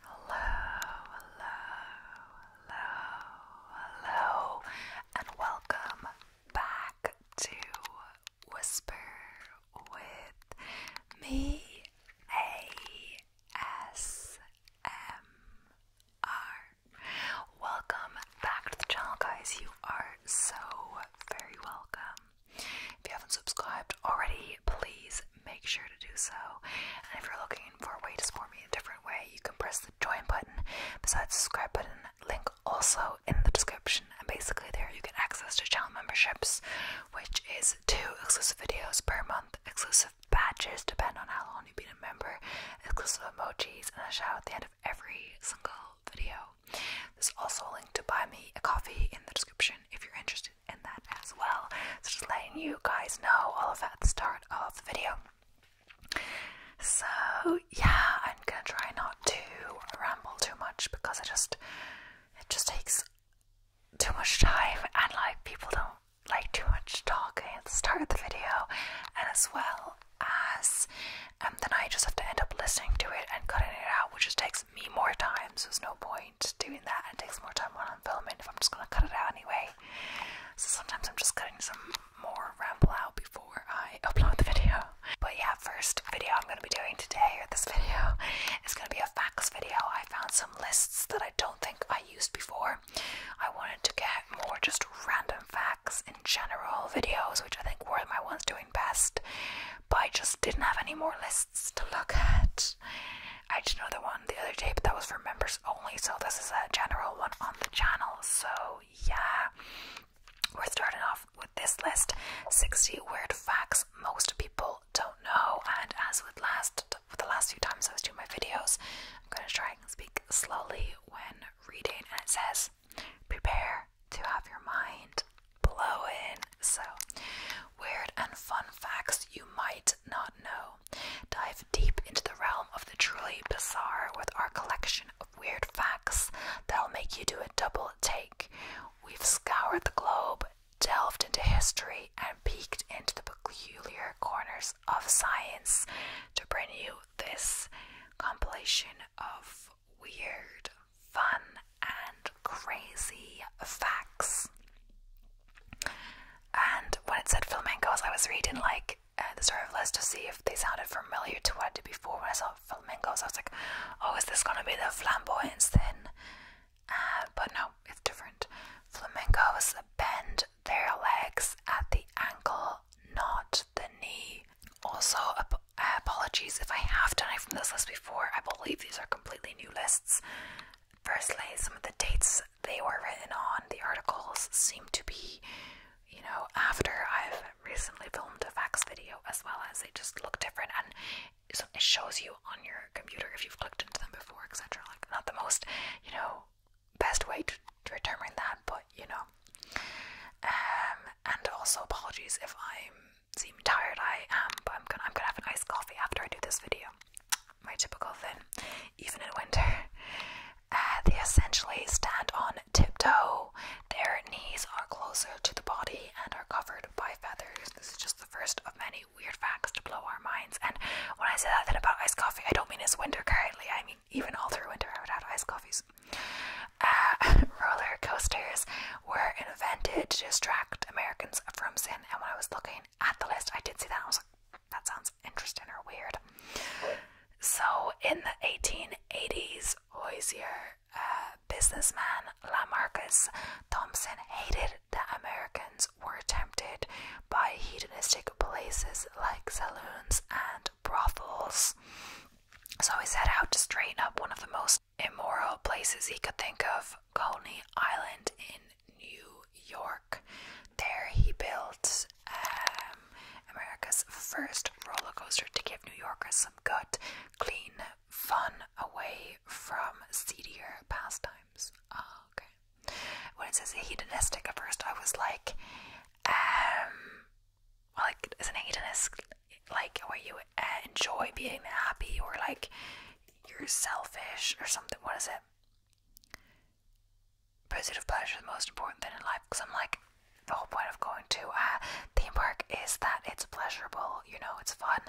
Hello, hello, hello, hello, and welcome back to Whisper with me, ASMR. Welcome back to the channel, guys. You are so very welcome. If you haven't subscribed already, please make sure to do so. And if you're looking for a way to support me in a different way, you can press the join button besides the subscribe button, link also in the description. And basically, there you get access to channel memberships, which is two exclusive videos per month, exclusive badges, depending on how long you've been a member, exclusive emojis, and a shout at the end every single video. There's also a link to buy me a coffee in the description if you're interested in that as well. So just letting you guys know all of that at the start of the video. So yeah, I'm gonna try not to ramble too much because it just it just takes too much time and like people don't like too much talking at the start of the video and as well ass. And then I just have to end up listening to it and cutting it out, which just takes me more time. So there's no point doing that. It takes more time when I'm filming if I'm just gonna cut it out anyway. So sometimes I'm just cutting some more ramble out before I upload the video. But yeah, first video I'm gonna be doing today, or this video, is gonna be a facts video. I found some lists that I don't think I used before. I wanted to get more just random facts in general videos, which I think were my ones doing best, but I just didn't have any more lists to look at. I did another one the other day, but that was for members only, so this is a general one on the channel. So, yeah, we're starting off with this list 60 weird facts most people don't know. And as with last, with the last few times I was doing my videos, I'm going to try and speak slowly when reading. And it says, prepare to have your mind blown. So, weird and fun facts you might not know. Dive deep into the realm of the truly bizarre with our collection of weird facts that'll make you do a double take. We've scoured the globe, delved into history, and peeked into the peculiar corners of science to bring you this compilation of weird, fun, and crazy facts. And when it said flamingos, I was reading like uh, the story of Liz to see if they sounded familiar to what I did before. When I saw flamingos. I was like, "Oh, is this gonna be the flamboyant thing?" Uh, but no, it's different. Flamencos bend their legs at the ankle, not the knee. Also, uh, apologies if I have done it from this list before. I believe these are completely new lists. Firstly, some of the dates they were written on, the articles seem to be, you know, after I've recently filmed a facts video, as well as they just look different and it shows you on your computer if you've clicked into them before, etc. Like, not the most, you know, best way to determine that, but you know, um, and also apologies if I seem tired. I am, but I'm gonna have an iced coffee after I do this video. My typical thing, even in winter. Uh, they essentially stand on tiptoe. Their knees are closer to the body and are covered by feathers. This is just the first of many weird facts to blow our minds. And when I say that about iced coffee, I don't mean it's winter currently. I mean even all through winter I would have iced coffees. Uh, roller coasters were invented to distract Americans from sin, and when I was looking at the list, I did see that. I was like, that sounds interesting or weird. So, in the 1880s, Hoosier uh, businessman Lamarcus Thompson hated that Americans were tempted by hedonistic places like saloons and brothels. So he set out to straighten up one of the most immoral places he could think of, Coney Island in New York. There he built um, America's first roller coaster to give New Yorkers some good, clean fun away from seedier pastimes. Ah, okay. When it says hedonistic, at first I was like, um, like is an hedonist like where you enjoy being happy or like you're selfish or something what is it pursuit of pleasure the most important thing in life because i'm like the whole point of going to a uh, theme park is that it's pleasurable you know it's fun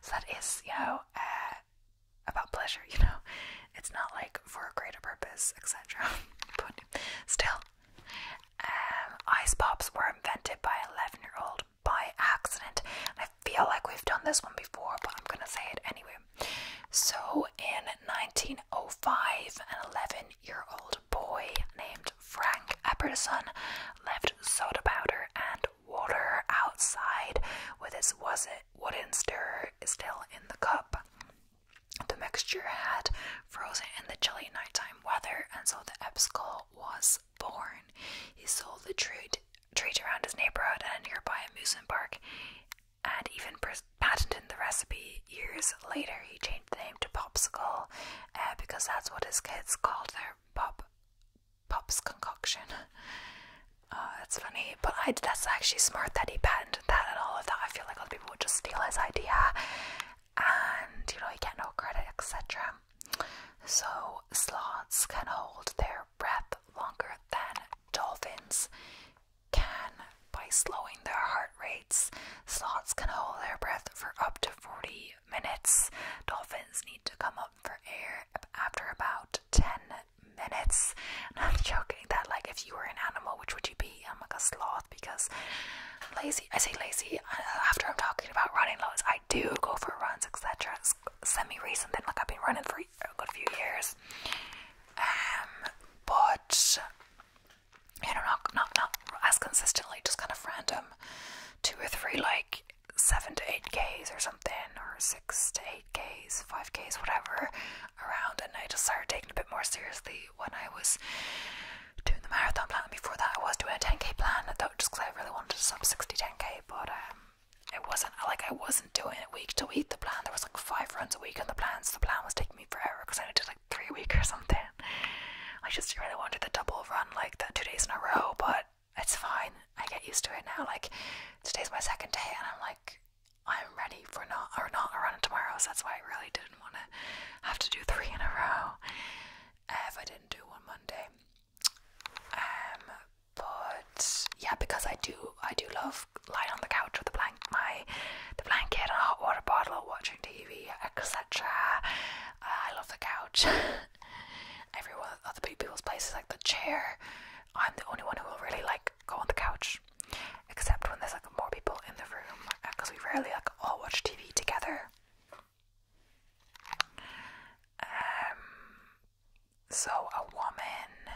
so that is you know uh, about pleasure you know it's not like for a greater purpose etc but still um, ice pops were invented by an 11 year old by accident. I feel like we've done this one before, but I'm gonna say it anyway. So, in 1905, an 11 year old boy named Frank Epperson left soda powder and water outside with his was it wooden stirrer still in the cup. The mixture had frozen in the chilly nighttime weather, and so the Epscol was born. He sold the treat, trade around his neighborhood and a nearby amusement park, and even patented the recipe. Years later, he changed the name to Popsicle uh, because that's what his kids called their pop pop's concoction. Uh, that's funny, but that's actually smart that he patented that and all of that. I feel like other people would just steal his idea and you know you get no credit, etc. So sloths can hold their breath longer than dolphins can by slowing their heart rates. Sloths can hold their breath for up to 40 minutes. Dolphins need to come up for air after about 10 minutes. I'm joking that like if you were an animal, which would you be? I'm a sloth because lazy. I say lazy uh, after I'm talking about running loads. I do go for runs, etc. Semi recently like I've been running for a good few years. Um, but you know, not not not as consistently. Just kind of random, two or three like seven to eight k's or something, or six to eight k's, five k's, whatever, around. And I just started taking it a bit more seriously when I was doing the marathon plan. Before that, I was doing a 10k plan, though, just because I really wanted to sub 60 10k, but um, it wasn't like I wasn't doing it week to week. The plan there was like five runs a week on the plans. the plan was taking me forever because I did like three weeks or something. I just really wanted the double run, like the two days in a row, but it's fine. I get used to it now. Like today's my second day, and I'm like, I'm ready for not or not a run tomorrow. So that's why I really didn't want to have to do three in a row uh, I didn't do one Monday. Um, but yeah, because I do, I do love lying on the couch with the blanket, my the blanket, and a hot water bottle, watching TV, etc. Uh, I love the couch. Everyone, other people's places like the chair. I'm the only one who will really like go on the couch, except when there's like more people in the room, because uh, we rarely like all watch TV together. Um, so, a woman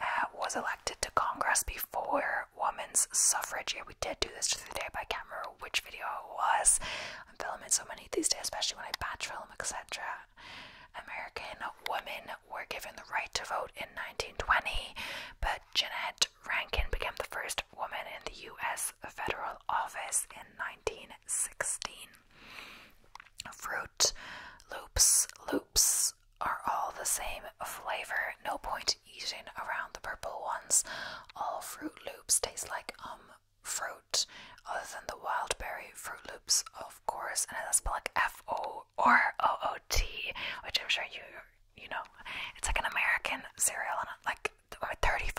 uh, was elected to Congress before women's suffrage. Yeah, we did do this to the day, but I can't remember which video it was. I'm filming so many these days, especially when I batch film, etc. American women were given the right to vote in 1920, but Jeanette Rankin became the first woman in the U.S. federal office in 1916. Fruit loops, loops are all the same flavor. No point eating around the purple ones. All Fruit Loops taste like um fruit, other than the wild berry Fruit Loops, of course. And that's spelled like F O or O O T, which I'm sure you you know. It's like an American cereal, and like or 35%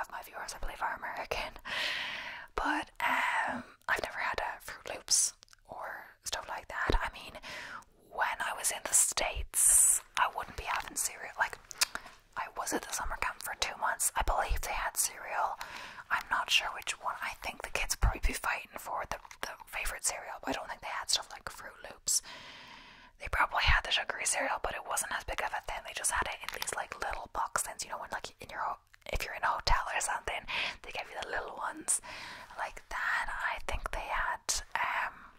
of my viewers, I believe, are American. But um, I've never had a uh, Fruit Loops or stuff like that. I mean, when I was in the States, I wouldn't be having cereal. Like, I was at the summer camp for two months. I believe they had cereal. I'm not sure which one. I think the kids probably be fighting for the, the favorite cereal. But I don't think they had stuff like Fruit Loops. They probably had the sugary cereal, but it wasn't as big of a thing. They just had it in these like little boxes. You know, when like in your if you're in a hotel or something, they give you the little ones like that. I think they had um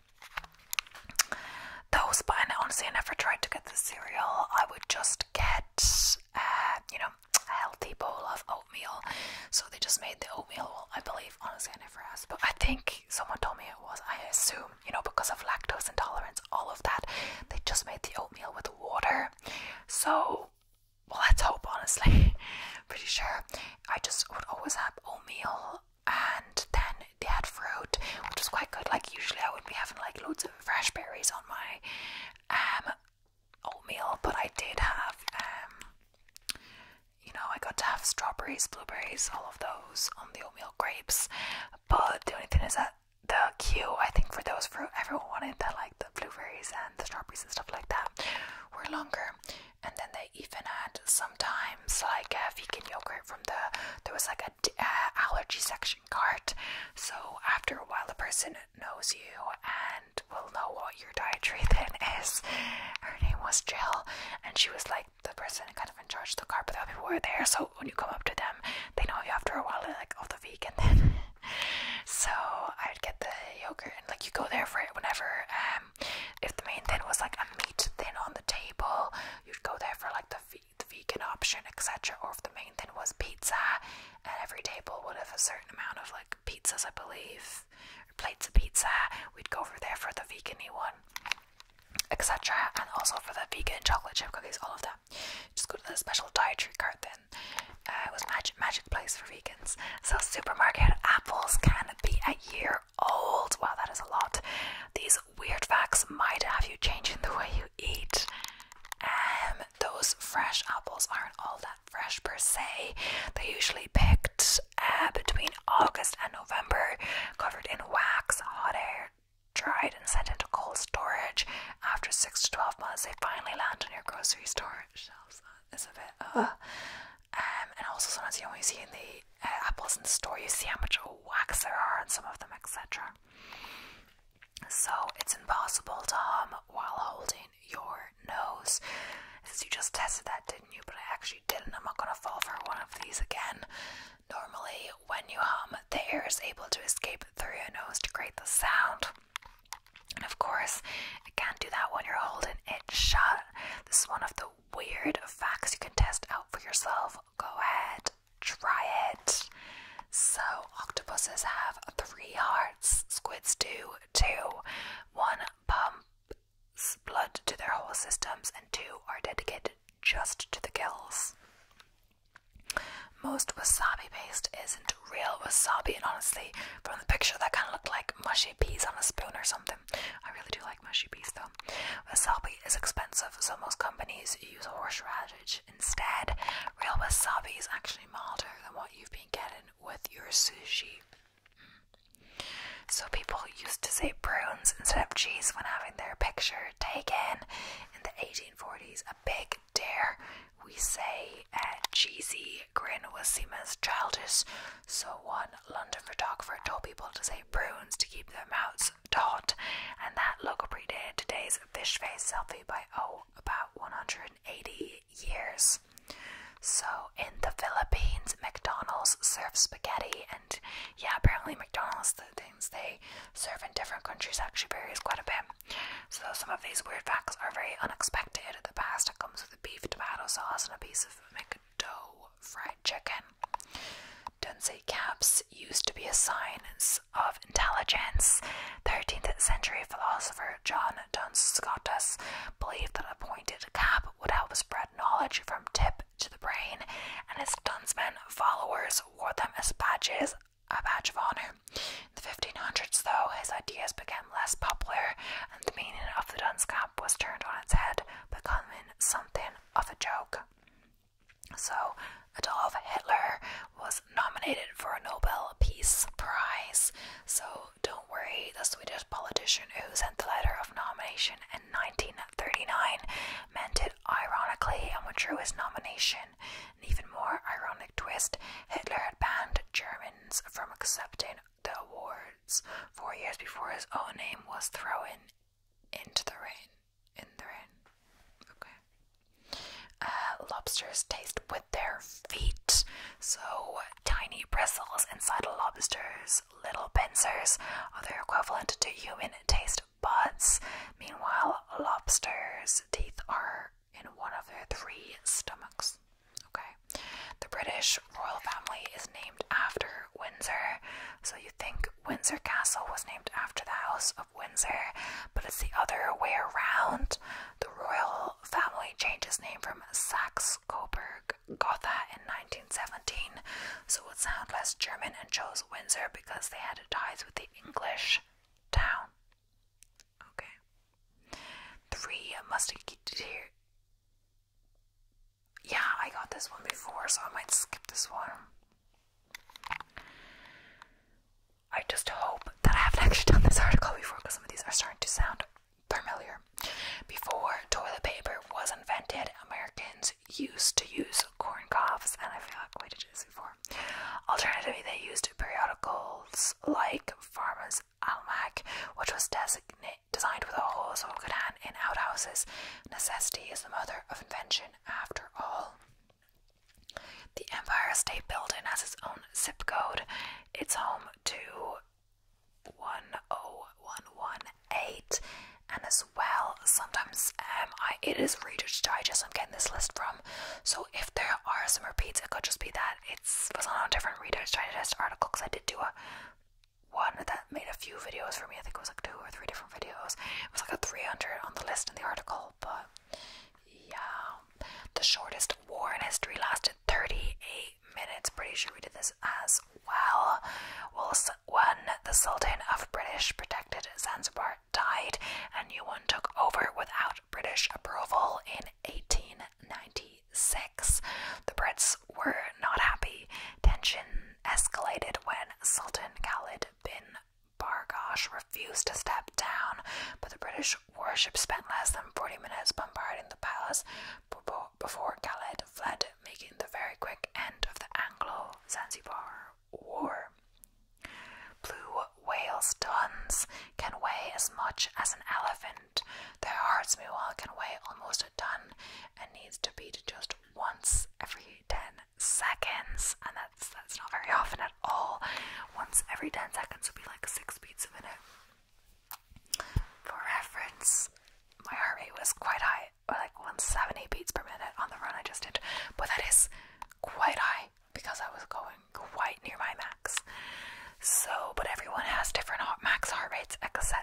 those, but I honestly, I never tried to get the cereal. I would just get uh, you know a healthy bowl of oatmeal. So they just made the oatmeal. Well, I believe honestly, I never asked, but I think someone told me it was. I assume um, you know, because of lactose intolerance, all of that. They just made the oatmeal with water. So, well, let's hope, honestly. Pretty sure. I just would always have oatmeal and then they had fruit, which was quite good. Like, usually I would be having like loads of fresh berries on my um, oatmeal, but I did have, um, you know, I got to have strawberries, blueberries, all of those on the oatmeal grapes. But the only thing is that the queue, I think, for those fruit, everyone wanted to like the blueberries and the strawberries and stuff like that, were longer. And then they even had sometimes like a vegan yogurt from the there was like a allergy section cart. So after a while, the person knows you and will know what your dietary thing is. Her name was Jill, and she was like, the person kind of in charge of the car, but the other people were there, so when you come up to them, they know you after a while, like, oh, the vegan then. so I would get the yogurt, and like, you go there for it whenever, um, if the main thing was like a meat thing on the table, you'd go there for like the, the vegan option, etc., or if the main thing was pizza, and every table would have a certain amount of like pizzas, I believe, plates of pizza, we'd go over there for the vegan one etc. And also for the vegan chocolate chip cookies, all of that. Just go to the special dietary cart then. Uh, it was magic magic place for vegans. So supermarket apples can be a year old. Wow, that is a lot. These weird facts might have you changing the way you eat. Um, those fresh apples aren't all that fresh per se. They're usually picked uh, between August and November, covered in wax, hot air, dried and sent into cold storage. After six to twelve months, they finally land on your grocery store shelves. Uh, it's a bit. Uh. Um, and also sometimes you only see in the uh, apples in the store, you see how much wax there are on some of them, etc. So it's impossible to hum while holding your nose. Since you just tested that, didn't you? But I actually didn't. I'm not gonna fall for one of these again. Normally, when you hum, the air is able to escape through your nose to create the sound. And of course, it can't do that when you're holding it shut. This is one of the weird facts you can test out for yourself. Go ahead, try it. So, octopuses have three hearts, squids do two. One pumps blood to their whole systems, and two are dedicated just to the gills. Most wasabi paste isn't real wasabi, and honestly, from the picture, that kind of looked like mushy peas on a spoon or something. I really do like mushy peas though. Wasabi is expensive, so most companies use horseradish instead. Real wasabi is actually milder than what you've been getting with your sushi. So people used to say prunes instead of cheese when having their picture taken in the 1840s. A big dare. We say uh, cheesy grin was seen as childish, so one London photographer told people to say prunes to keep their mouths taut, and that look predated today's fish face selfie by oh about 180 years. So in the Philippines, McDonald's serves spaghetti, and yeah, apparently McDonald's things they serve in different countries actually varies quite a bit. So some of these weird facts are very unexpected. The pasta comes with a beef tomato sauce and a piece of McDo fried chicken. Dunsey caps used to be a sign of intelligence. 13th century philosopher John Duns Scotus believed that a pointed cap would help spread knowledge from tip to the brain, and his Dunsman followers wore them as badges, a badge of honor. In the 1500s, though, his ideas became less popular, and the meaning of the dunce was turned on its head, becoming something of a joke. So, Adolf Hitler was nominated for a Nobel Peace Prize. So, don't worry, the Swedish politician who sent the letter of nomination in 1939 meant it ironically, and what drew his nomination, an even more ironic twist, Hitler had banned Germans from accepting the awards four years before his own name was thrown into the ring. In the rain. Okay. Uh, lobsters taste with their feet. So tiny bristles inside a lobster's little pincers are their equivalent to human taste butts. Meanwhile, lobsters' teeth are in one of their three stomachs. Okay. The British royal family is named after Windsor. So you think Windsor Castle was named after the House of Windsor, but it's the other way around. The royal family changed its name from Saxe Coburg Gotha in 1917 so it sound less German and chose Windsor because they had ties with the English town. Okay. Three must here. Yeah, I got this one before, so I might skip this one. I just hope that I haven't actually done this article before because some of these are starting to sound familiar. Before toilet paper was invented, Americans used to use corn cobs, and I feel like we did this before. Alternatively, they used periodicals like Farmer's Almanac, which was designate, designed with a hole so it could hang in outhouses. Necessity is the mother of invention, after all. The Empire State Building has its own zip code. It's home to one o oh one one eight, and as well, sometimes um, I it is Reader's Digest I'm getting this list from. So if there are some repeats, it could just be that it's was on a different Reader's Digest article because I did do a one that made a few videos for me. I think it was like two or three different videos. It was like a 300 on the list in the article, but yeah. The shortest war in history lasted 38 minutes. Pretty sure we did this as well. Well, one, the Sultan of British Britain protected Zanzibar died, and one took over without British approval in 1896. The Brits were not happy. Tension escalated when Sultan Khalid bin Bargash refused to step down, but the British warship spent less than 40 minutes bombarding the palace before Khalid fled, making the very quick end of the Anglo Zanzibar war. Blue whales' tons can weigh as much as an elephant. Their hearts, meanwhile, can weigh almost a ton and needs to beat just once every 10 seconds. And that's that's not very often at all. Once every 10 seconds would be like six beats a minute. For reference, my heart rate was quite high like 170 beats per minute on the run I just did, but that is quite high because I was going quite near my max. So, but everyone has different heart, max heart rates, etc.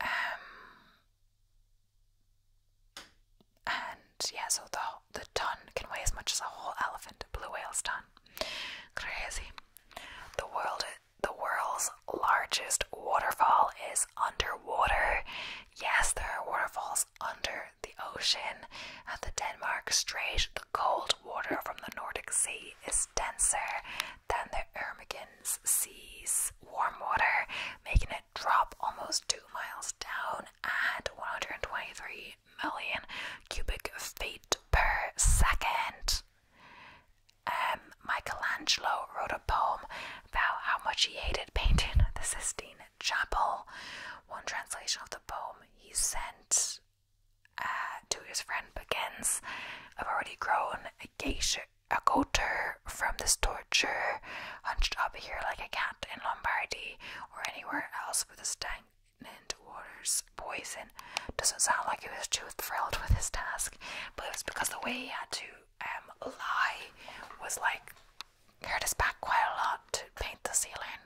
Um, and yeah, so the the ton can weigh as much as a whole elephant, a blue whale's ton. Crazy. The world, the world's largest waterfall is underwater. Yes, there are waterfalls under the ocean. At uh, the Denmark Strait, the cold water from the Nordic Sea is denser than the Ermigen's Sea's warm water, making it drop almost two miles down at 123 million cubic feet per second. Um, Michelangelo wrote a poem how much he hated painting the Sistine Chapel. One translation of the poem he sent uh, to his friend begins I've already grown a geisha. A goater from this torture, hunched up here like a cat in Lombardy or anywhere else with a stank water's poison. Doesn't sound like he was too thrilled with his task, but it was because the way he had to um, was like hurt his back quite a lot to paint the ceiling.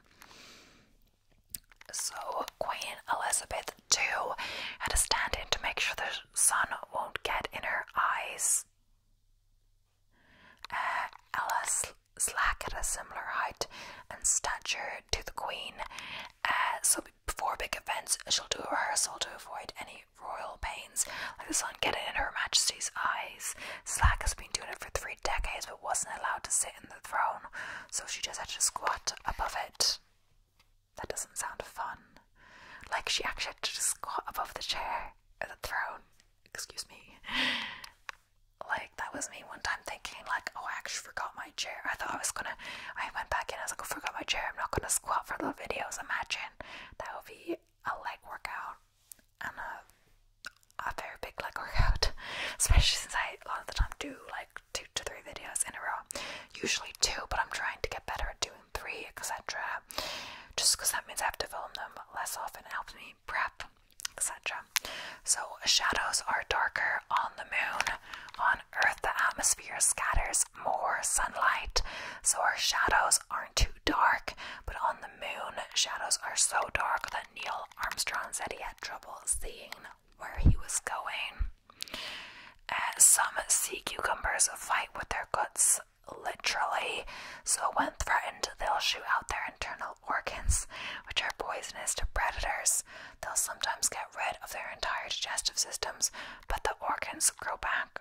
So Queen Elizabeth too had a stand-in to make sure the sun won't get in her eyes. Uh, Alice Slack had a similar height and stature to the Queen, uh, so before big events she'll do a rehearsal to avoid any royal pains, like the sun getting in Her Majesty's eyes. Slack has been doing it for three decades but wasn't allowed to sit in the throne, so she just had to squat above it. That doesn't sound fun. Like she actually had to just squat above the chair at uh, the throne. Excuse me. Like that was me one time thinking like, oh I actually forgot my chair. I thought I was gonna I went back in, I was like, oh, forgot my chair, I'm not gonna squat for little videos, imagine. That would be a leg workout and a, a very big leg workout, especially since I a lot of the time do like two to three videos in a row. Usually two, but I'm trying to get better at doing three, etc. Just because that means I have to film them less often, it helps me prep, etc. So, shadows are darker on the moon. On Earth, the atmosphere scatters more sunlight, so our shadows aren't too dark, but on the moon, shadows are so dark that Neil Armstrong said he had trouble seeing where he was going. Uh, some sea cucumbers fight with their guts, literally, so when threatened, they'll shoot out their internal organs, which are poisonous to predators. They'll sometimes get rid of their entire digestive systems, but the organs grow back.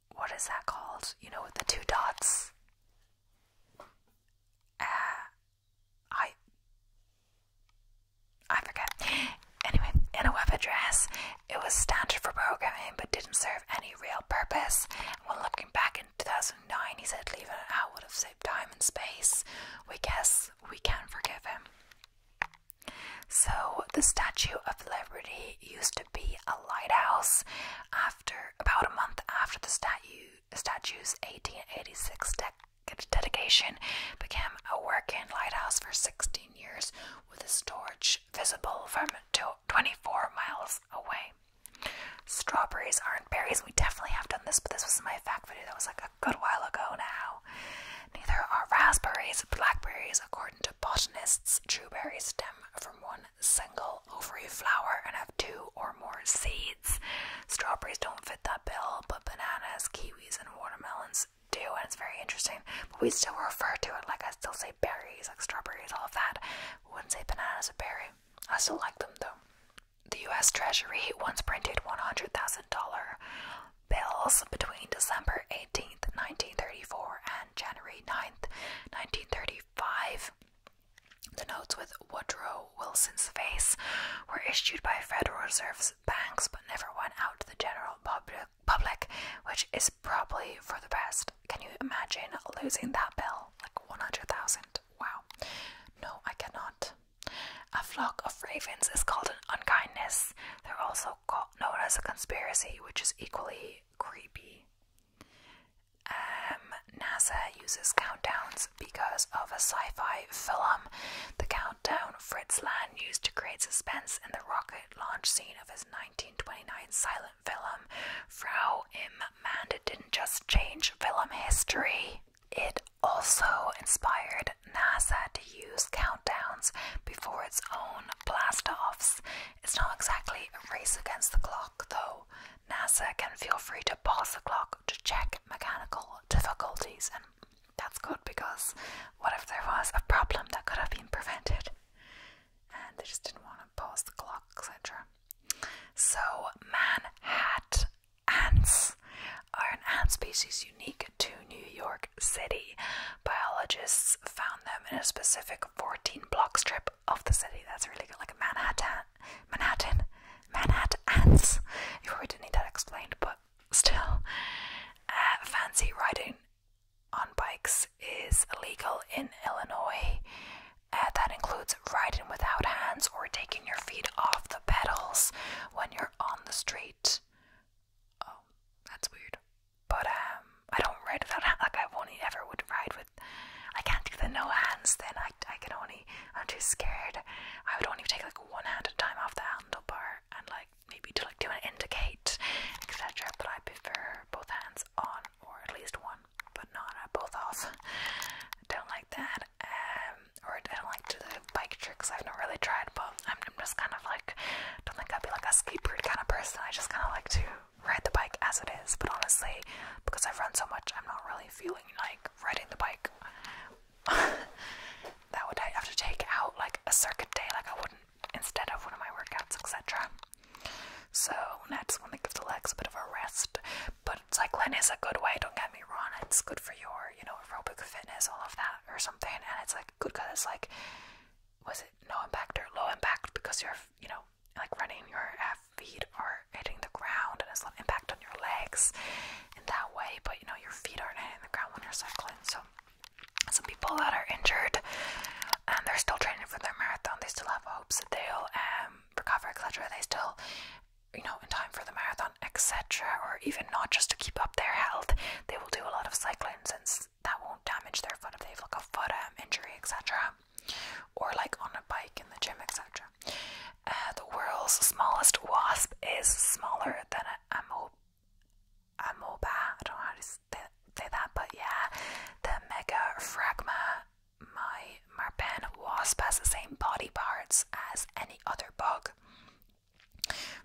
what is that called? You know, with the two dots. Uh, I I forget. Anyway, in a web address, it was standard for programming but didn't serve any real purpose. when looking back in 2009, he said leaving it out would have saved time and space. We guess we can forgive him. So, the Statue of Liberty used to be a lighthouse. After about a month after the statue, statue's 1886 dedication, became a working lighthouse for 16 years, with a torch visible from 24 miles away. Strawberries aren't berries. We definitely have done this, but this was my fact video that was like a good while ago now. Neither are raspberries, blackberries, according to botanists true berries stem from one single ovary flower and have two or more seeds. Strawberries don't fit that bill, but bananas, kiwis, and watermelons do, and it's very interesting. But we still refer to it like I still say berries, like strawberries, all of that. wouldn't say bananas a berry. I still like them though. The US Treasury once printed $100,000 bills between December 18 1934, and January 9th, 1935. The notes with Woodrow Wilson's face were issued by Federal Reserve banks but never went out to the general public, which is probably for the best. Can you imagine losing that bill? Like 100,000. Wow. No, I cannot. A flock of ravens is called an unkindness. They're also called, known as a conspiracy, which is equally creepy. Um, NASA uses countdowns because of a sci fi film. The countdown Fritz Lang used to create suspense in the rocket launch scene of his 1929 silent film, Frau im Mande, didn't just change film history, it also inspired NASA to use countdowns before its own blast offs. It's not exactly a race against the clock, though. NASA can feel free to pause the clock to check mechanical difficulties, and that's good because what if there was a problem that could have been prevented? And they just didn't want to pause the clock, etc. So, man ants are an ant species unique to New York City. Biologists found them in a specific 14 block strip of the city. That's really good, like Manhattan. Manhattan. ants. You probably didn't need that explained, but still. Uh, fancy riding on bikes is illegal in Illinois. Uh, that includes riding without hands or taking your feet off the pedals when you're on the street. Oh, that's weird. But um, I don't ride without hands. Like I won't ever would ride with. I can't do the no hands. Then I, I can only. I'm too scared. I would only take like one hand at a time off the handlebar and like maybe to like do an indicate, etc. But I prefer both hands on or at least one, but not uh, both off. I don't like that. Um, or I don't like to do bike tricks. I've not really tried, but I'm just kind of like don't think I'd be like a skateboard kind of person. I just kind of like to ride the bike as it is, but honestly, because I've run so much, I'm not really feeling like riding the bike. that would I have to take out like a circuit day, like I wouldn't instead of one of my workouts, etc. So that's when to give the legs a bit of a rest. But cycling is a good way, don't get me wrong, it's good for your, you know, aerobic fitness, all of that or something, and it's like good because it's like was it no impact or low impact because you're you know like running your uh, feet are hitting the ground and it's not impact on your legs in that way but you know your feet aren't hitting the ground when you're cycling so some people that are injured and they're still training for their marathon they still have hopes that they'll um, recover etc they still you know in time for the marathon etc or even not just to keep up their health they will do a lot of cycling since that won't damage their foot if they've like a foot um, injury, etc., or like on a bike in the gym, etc. Uh, the world's smallest wasp is smaller than a amoeba. Amoeba, I don't know how to say that, but yeah, the Megaphragma my marpen wasp has the same body parts as any other bug.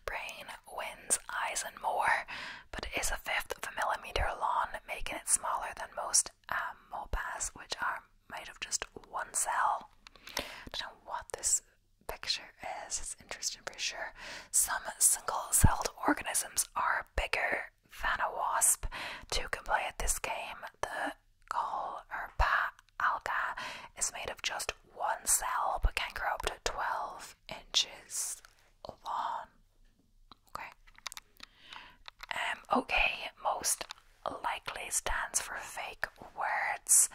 Brain, wings, eyes, and more but it is a fifth of a millimeter long, making it smaller than most um, which are made of just one cell. I don't know what this picture is, it's interesting for sure. Some single celled organisms are bigger than a wasp. Two can play at this game. The gall or pa alga is made of just one cell but can grow up to 12 inches long. Okay. Um, okay, most likely stands for fake words.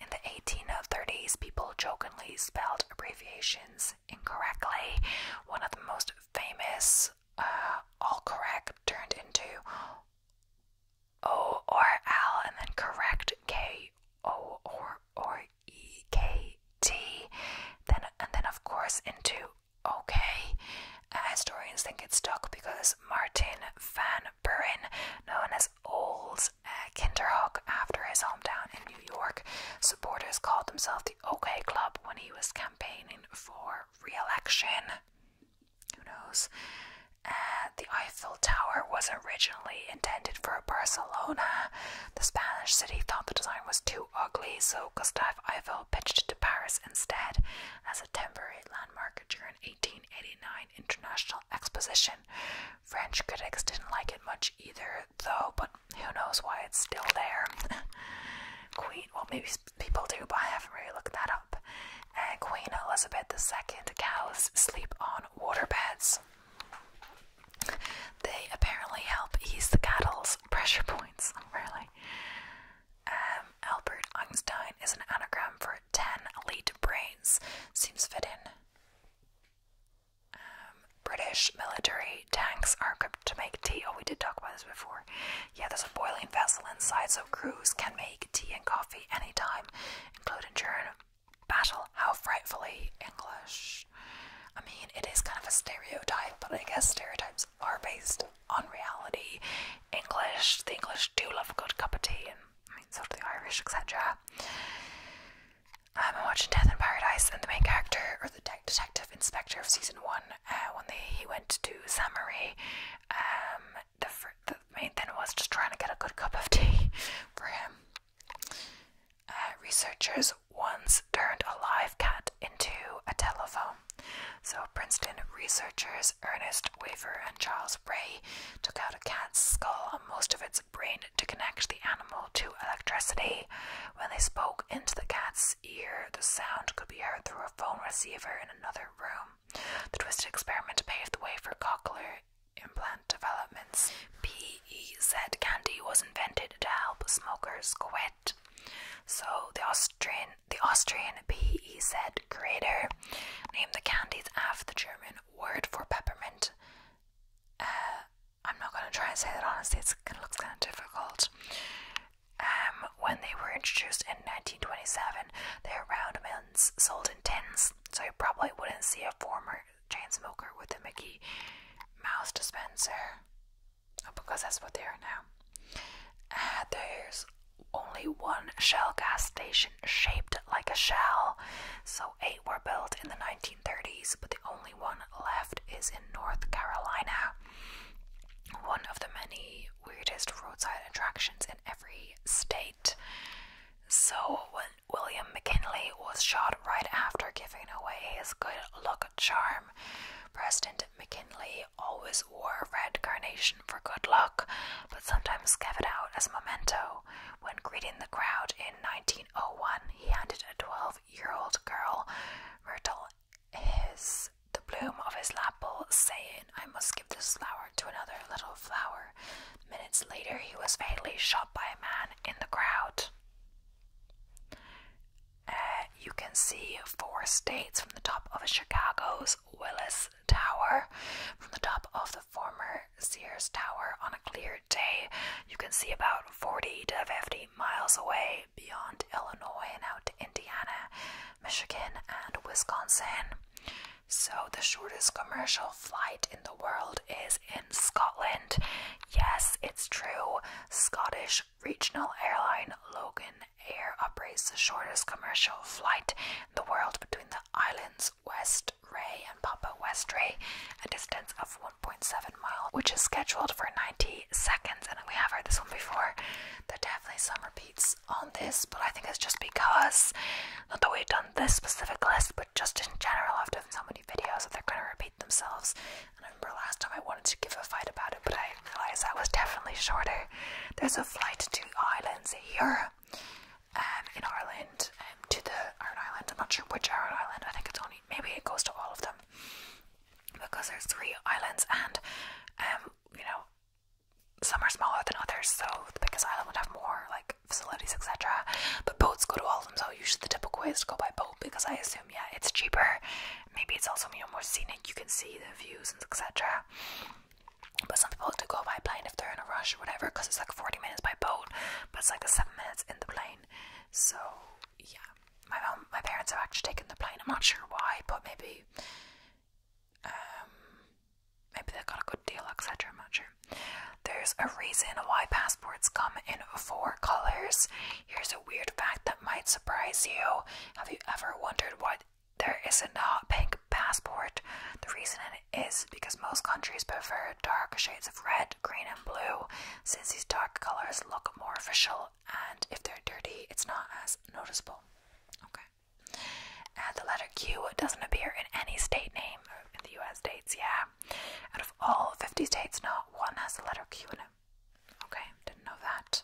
In the 1830s, people jokingly spelled abbreviations incorrectly. One of the most famous, uh, all correct, turned into O or L, and then correct K O or or E K T. Then and then of course into OK. Uh, historians think it stuck because Martin van Buren, known as Old uh, Kinderhook after his hometown in New York, supporters called themselves the OK Club when he was campaigning for re-election. Who knows? Uh, the Eiffel Tower was originally intended for Barcelona. The Spanish city thought the design was too ugly, so Gustave Eiffel pitched it to Paris instead as a temporary landmark during 1889 International Exposition. French critics didn't like it much either, though, but who knows why it's still there. Queen, well, maybe people do, but I haven't really looked that up. And Queen Elizabeth II cows sleep on water beds. They apparently help ease the cattle's pressure points, really. Um, Albert Einstein is an anagram for 10 elite brains. Seems fitting. Um, British military tanks are equipped to make tea. Oh, we did talk about this before. Yeah, there's a boiling vessel inside, so crews can make tea and coffee anytime, including during battle. How frightfully English. I mean, it is kind of a stereotype, but I guess stereotypes are based on reality. English, the English do love a good cup of tea, and I mean, so do the Irish, etc. Um, I'm watching Death in Paradise, and the main character, or the detective inspector of season one, uh, when he went to Samari, um, the main thing was just trying to get a good cup of tea for him. Uh, researchers once turned a live cat into a telephone. So, Princeton researchers Ernest Weaver and Charles Bray took out a cat's skull and most of its brain to connect the animal to electricity. When they spoke into the cat's ear, the sound could be heard through a phone receiver in another room. The twisted experiment paved the way for cochlear implant developments he said candy was invented to help smokers quit. So the Austrian, the Austrian PE said creator named the candies after the German word for peppermint. Uh, I'm not going to try and say that honestly, it's, it looks kind of difficult. Um, when they were introduced in 1927, they were round mints sold in tins, so you probably wouldn't see a former chain smoker with a Mickey Mouse dispenser. Oh, because that's what they are now. Uh, there's only one shell gas station shaped like a shell, so eight were built in the 1930s, but the only one left is in North Carolina. One of the many weirdest roadside attractions in every state. So, when William McKinley was shot right after giving away his good luck charm, President McKinley always wore a red carnation for good luck, but sometimes gave it out as a memento. When greeting the crowd in 1901, he handed a 12 year old girl, Myrtle, his the bloom of his lapel, saying, I must give this flower to another little flower. Minutes later, he was fatally shot by a man in the crowd. Uh, you can see four states from the top of Chicago's Willis Tower. From the top of the former Sears Tower on a clear day, you can see about 40 to 50 miles away beyond Illinois and out to Indiana, Michigan, and Wisconsin. So, the shortest commercial flight in the world is in Scotland. Yes, it's true. Scottish regional airline Logan Air operates the shortest commercial flight in the world between the islands West Ray and Papua West Ray, a distance of 1.7 miles, which is scheduled for 90 seconds. And we have heard this one before. There are definitely some repeats on this, but I think it's just because not that we've done this specific list, but just in general, after have so many videos that they're going to repeat themselves. I remember last time I wanted to give a fight about it, but I realized I was definitely shorter. There's a flight to islands here um, in Ireland, um, to the Island. I'm not sure which Island, I think it's only, maybe it goes to all of them. Because there's three islands and, um, you know, some are smaller than others, so the biggest island would have more like facilities, etc. But boats go to all of them, so usually the typical way is to go by boat because I assume, yeah, it's cheaper Maybe it's also more scenic. You can see the views and etc. But some people like to go by plane if they're in a rush or whatever, because it's like 40 minutes by boat, but it's like a seven minutes in the plane. So yeah, my my parents have actually taken the plane. I'm not sure why, but maybe, um, maybe they got a good deal, etc. I'm not sure. There's a reason why passports come in four colors. Here's a weird fact that might surprise you. Have you ever wondered why there is a pink passport? The reason is because most countries prefer dark shades of red, green, and blue, since these dark colors look more official, and if they're dirty, it's not as noticeable. Okay. And the letter Q doesn't appear in any state name in the US states, yeah. Out of all 50 states, no one has the letter Q in Okay, didn't know that.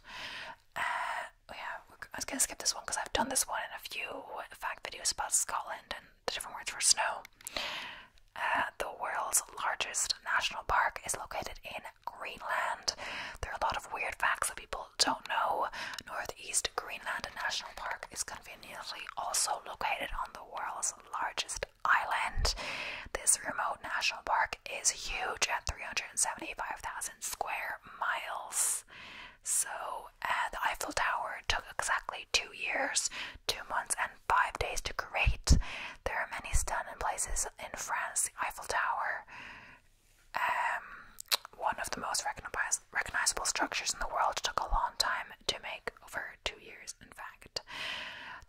Uh, yeah, I was gonna skip this one because I've done this one in a few fact videos about Scotland and the different words for snow. Uh, the world's largest national park is located in Greenland. There are a lot of weird facts that people don't know. Northeast Greenland National Park is conveniently also located on the world's largest island. This remote national park is huge at 375,000 square miles. So, the Eiffel Tower took exactly two years, two months, and five days to create. There are many stunning places in France. The Eiffel Tower, um, one of the most recognizable structures in the world, took a long time to make over two years in fact.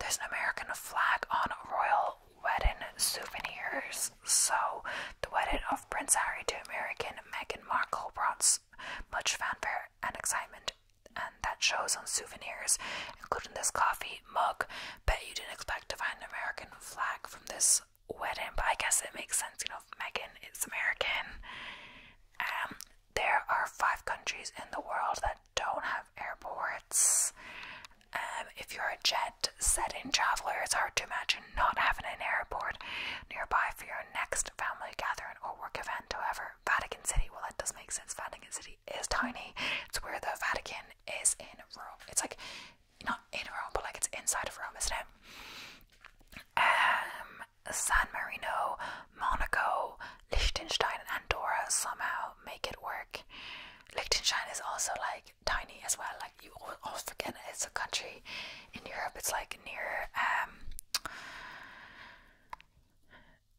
There's an American flag on royal wedding souvenirs. So, the wedding of Prince Harry to American Meghan Markle brought much fanfare and excitement, and that shows on souvenirs, including this coffee mug. Bet you didn't expect to find an American flag from this wedding, but I guess it makes sense, you know, Meghan is American. Um, there are five countries in the world that don't have airports. Um, if you're a jet setting traveler, it's hard to imagine not having an airport nearby for your next family gathering or work event. However, Vatican City, well, that does make sense. Vatican City is tiny, it's where the Vatican is in Rome. It's like not in Rome, but like it's inside of Rome, isn't it? Um, San Marino, Monaco, Liechtenstein and Andorra somehow make it work. Liechtenstein is also like tiny as well. Like you always forget it's a country in Europe. It's like near um,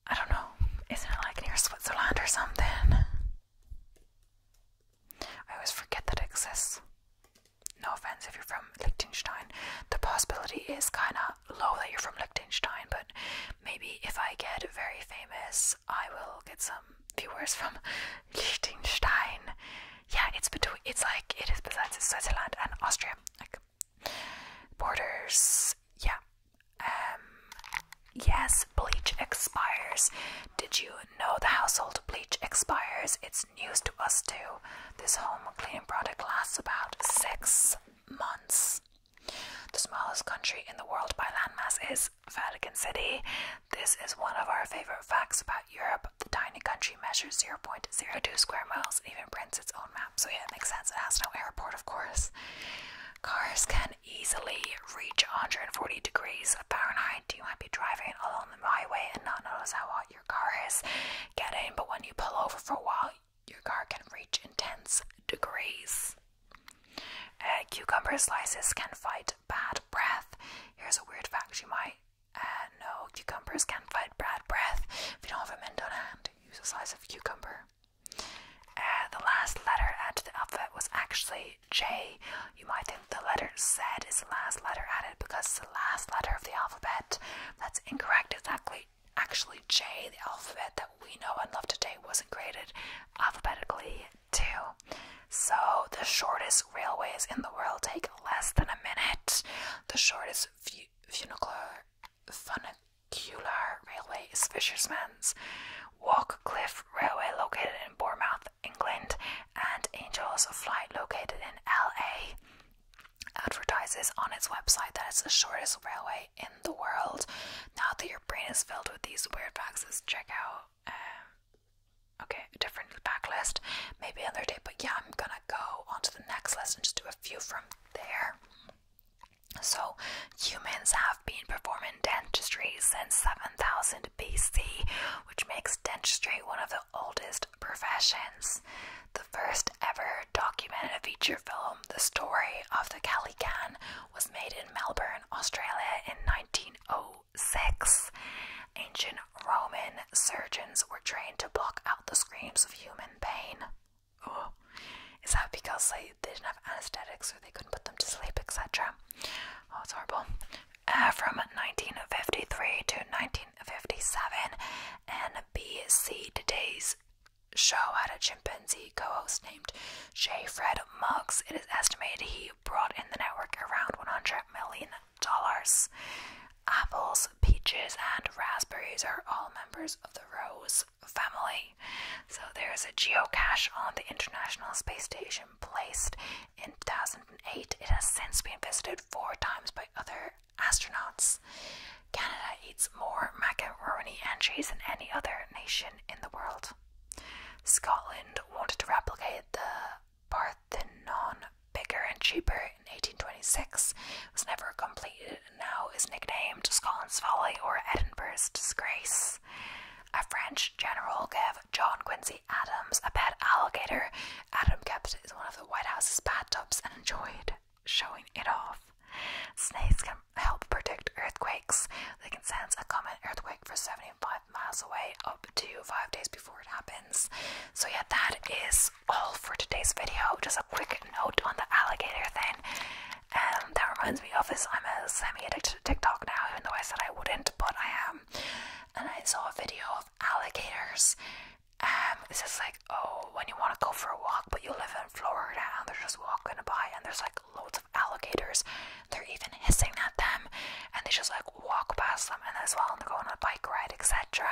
I don't know. Isn't it like near Switzerland or something? I always forget that it exists. No offense if you're from Liechtenstein. The possibility is kind of low that you're from Liechtenstein, but maybe if I get very famous I will get some viewers from Liechtenstein. Yeah, it's between. It's like it is besides Switzerland and Austria, like borders. Yeah. Um. Yes, bleach expires. Did you know the household bleach expires? It's news to us too. This home cleaning product lasts about six months. The smallest country in the world by landmass is Vatican City. This is one of our favorite facts about Europe. The tiny country measures 0.02 square miles and even prints its own map. So, yeah, it makes sense. It has no airport, of course. Cars can easily reach 140 degrees Fahrenheit. You might be driving along the highway and not notice how hot your car is getting, but when you pull over for a while, your car can reach intense degrees. Uh, cucumber slices can fight bad breath. Here's a weird fact you might uh, know cucumbers can fight bad breath. If you don't have a mint on hand, use a slice of cucumber. Uh, the last letter added to the alphabet was actually J. You might think the letter Z is the last letter added because it's the last letter of the alphabet. That's incorrect. It's actually, actually J, the alphabet we know and love today wasn't created alphabetically, too. So, the shortest railways in the world take less than a minute. The shortest funicular, funicular railway is Fisherman's Walk Cliff Railway, located in Bournemouth, England, and Angels Flight, located in LA advertises on its website that it's the shortest railway in the world. Now, that you're brain is filled with these weird facts. check out um, okay, a different backlist, maybe another day, but yeah, I'm gonna go on to the next list and just do a few from there. So, humans have been performing dentistry since 7000 BC, which makes dentistry one of the oldest professions. The first ever documented feature film, The Story of the Kelly Calican, was made in Melbourne, Australia in 1906. Ancient Roman surgeons were trained to block out the screams of human pain. Ugh. Is that because they didn't have anesthetics or they couldn't put them to sleep, etc.? Oh, it's horrible. Uh, from 1953 to 1957, NBC Today's show had a chimpanzee co host named J. Fred Muggs. It is estimated he brought in the network around $100 million. Apples, peaches, and raspberries are all members of the Rose family. So there is a geocache on the International Space Station placed in 2008. It has since been visited four times by other astronauts. Canada eats more macaroni and cheese than any other nation in the world. Scotland wanted to replicate the Parthenon bigger and cheaper in 1826. It was never completed and now is nicknamed Scotland's Folly or Edinburgh's Disgrace. A French general gave John Quincy Adams a pet alligator. Adams kept it in one of the White House's bathtubs and enjoyed showing it off. Snakes can help predict earthquakes. They can sense a common earthquake for 75 miles away up to five days before it happens. So, yeah, that is all for today's video. Just a quick note on the alligator thing. And um, that reminds me of this. I'm a semi addicted to TikTok now, even though I said I wouldn't, but I am. And I saw a video of alligators. Um, it's just like, oh, when you want to go for a walk, but you live in Florida and they're just walking by, and there's like loads of alligators they're even hissing at them and they just like walk past them and as well and they're going on a bike ride, etc.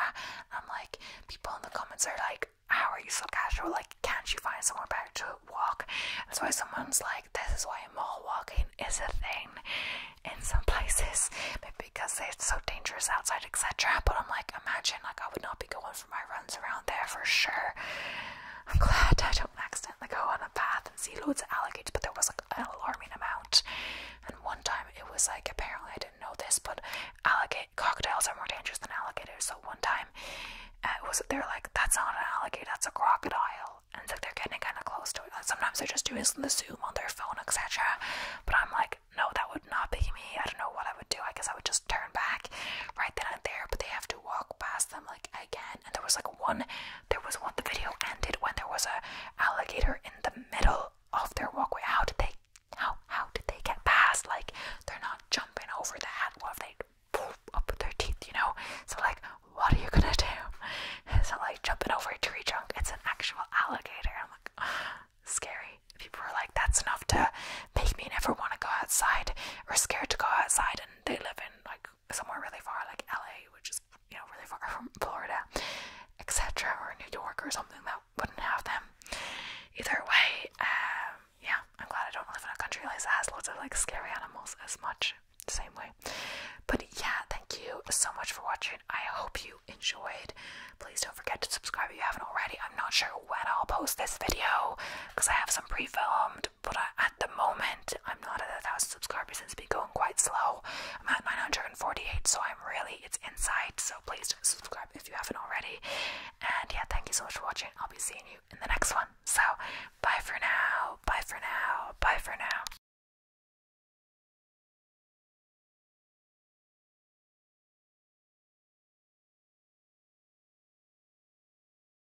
I'm like, people in the comments are like, How are you so casual? Like, can't you find somewhere better to walk? That's why someone's like, This is why mall walking is a thing in some places, maybe because it's so dangerous outside, etc. But I'm like, imagine like I would not be going for my runs around there for sure. I'm glad I don't accidentally accidentally go on a path and see loads of alligators, but there was like an alarming amount. And one time it was like apparently I didn't know this, but alligator crocodiles are more dangerous than alligators. So one time uh, it was they're like that's not an alligator, that's a crocodile, and it's like they're getting kind of close to it. Like sometimes they're just doing the zoom on their phone, etc. But I'm like, no, that would not be me. I don't know what I would do. I guess I would just turn back right then and there. But they have to walk past them like again, and there was like one. There was one. The video ended when there was a alligator in the middle of their walkway. How did they? How how did they get past? Like they're not jumping over that. What if they poof up with their teeth? You know. So like, what are you gonna do? It's not like jumping over a tree trunk. It's an actual alligator. I'm like, scary. People are like, that's enough to make me never want to go outside or scared to go outside. And they live in like somewhere really far, like LA, which is you know really far from Florida, etc., or New York or something that wouldn't have them. Either way, um, yeah, I'm glad I don't live in a country like that has lots of like scary animals as much. Same way, but yeah, thank you so much for watching. I hope you enjoyed. Please don't forget to subscribe if you haven't already. I'm not sure when I'll post this video because I have some pre filmed, but I, at the moment. I'm not at a thousand subscribers. It's been going quite slow. I'm at 948, so I'm really it's inside. So please subscribe if you haven't already. And yeah, thank you so much for watching. I'll be seeing you in the next one. So bye for now. Bye for now. Bye for now.